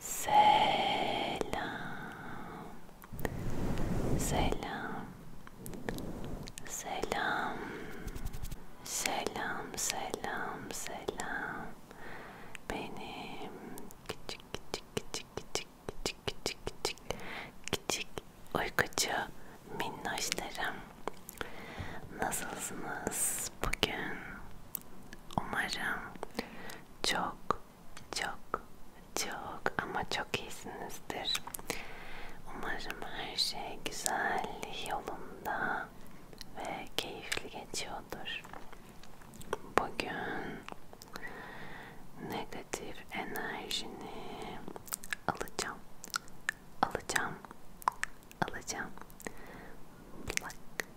Selam. Selam. Selam. Selam, selam, selam. Benim küçük küçük küçük küçük küçük küçük küçük küçük uykucu minnoşlarım nasılsınız bugün umarım çok çok çok ama çok iyisinizdir umarım her şey güzel yolunda ve keyifli geçiyordur bugün negatif enerjini alacağım alacağım alacağım plak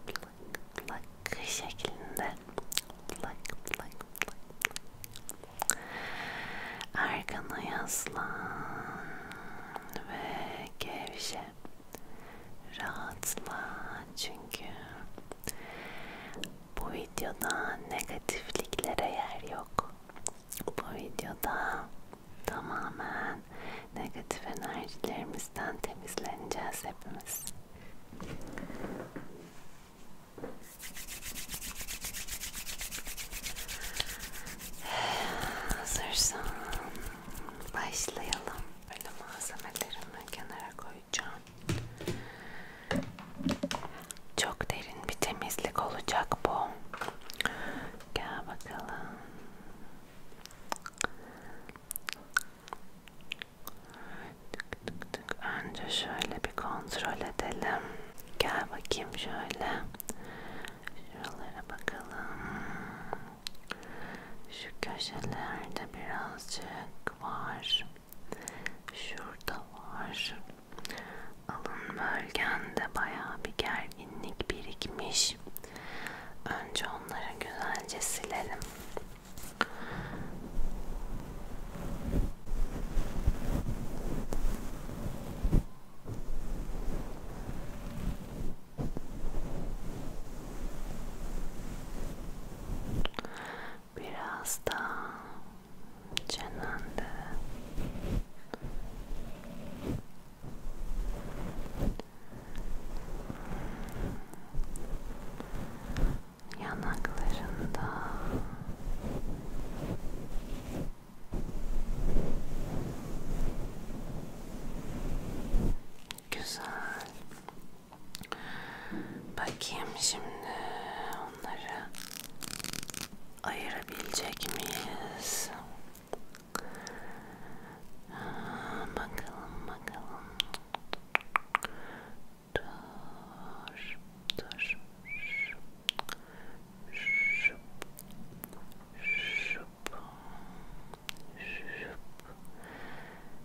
plak plak şeklinde plak plak plak arkana yaslan ve gevşe rahatla çünkü bu videoda negatifliklere yer yok. Bu videoda tamamen negatif enerjilerimizden temizleneceğiz hepimiz. Hazırsan başlayalım. Böyle malzemelerimi kenara koyacağım. Çok derin bir temizlik olacak bu. Gel bakalım. Tık tık tık. Önce şöyle bir kontrol edelim. Gel bakayım şöyle. Şuralara bakalım. Şu köşelerde birazcık var. Şurada var. Alın bölgende bayağı bir gerginlik birikmiş. Önce onları güzelce silelim. Biraz daha çenende yanaklarında güzel Bakayım şimdi onları ayırabilecek miyiz? Aa, bakalım bakalım. Dur, dur. Şup, şup, şup, şup.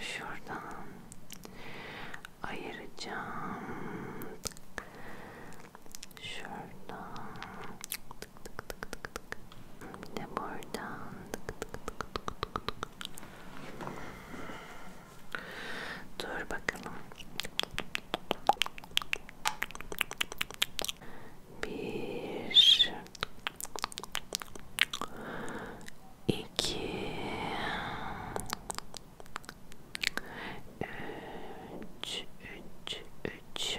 Şuradan ayıracağım. Şuradan. Bir de buradan. Dur bakalım. Bir, iki, üç, üç, üç.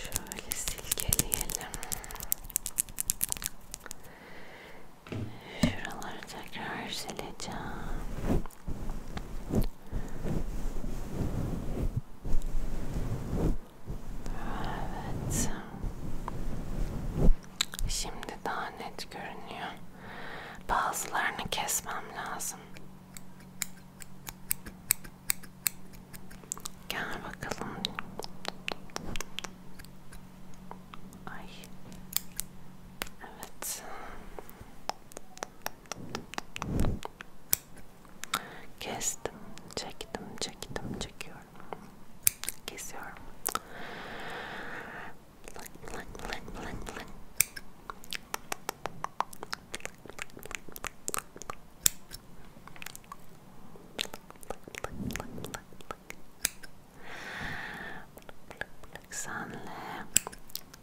Şöyle silkeleyelim. Şuraları tekrar sileceğim. Şöyle Evet. Şimdi daha net görünüyor. Bazılarını kesmem lazım. Gel bakalım. Ay. Evet. Kestim, çektim, çektim, çekiyorum. Kesiyorum. Blank, blank, blank, blank, blank. Senle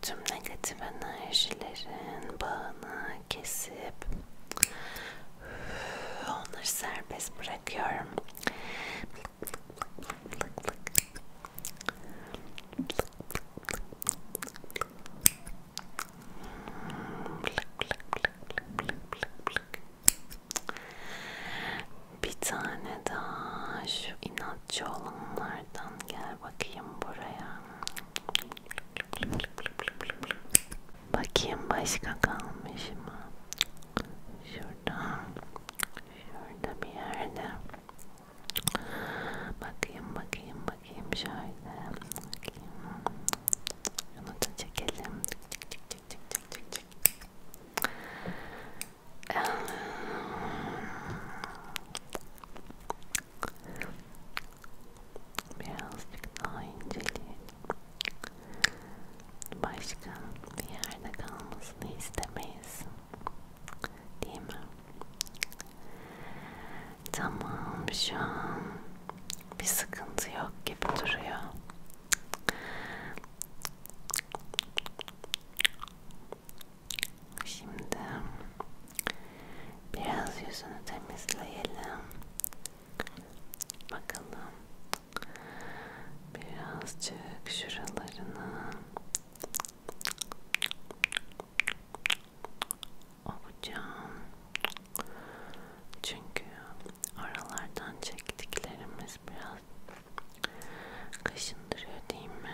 tüm negatif enerjilerin bağını kesip onları serbest bırakıyorum. Bir tane daha şu inatçı olanlardan gel bakayım buraya. Bakayım başka kalmış mı? Şurada. Şurada bir yerde. Bakayım bakayım bakayım şöyle. Bakayım. Şunu da çekelim. Çek çek çek çek çek çek. Birazcık daha inceleyelim. Başka bir yerde kalmasını istemeyiz. Değil mi? Tamam şu an bir sıkıntı yok gibi duruyor. Şimdi Biraz yüzünü temizleyelim. Bakalım. Birazcık şuralarını. Avucam. Çünkü aralardan çektiklerimiz biraz kaşındırıyor değil mi?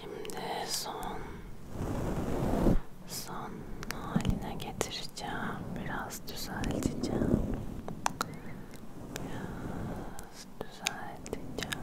Şimdi son son haline getireceğim. Biraz düzelteceğim. Biraz düzelteceğim.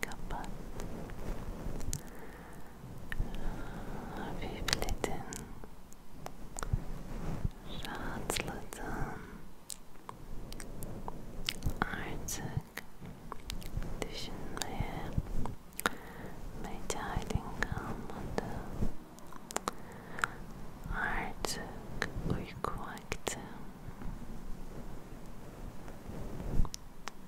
kapat hafifledin rahatladın artık düşünmeye mecalin kalmadı artık uyku vakti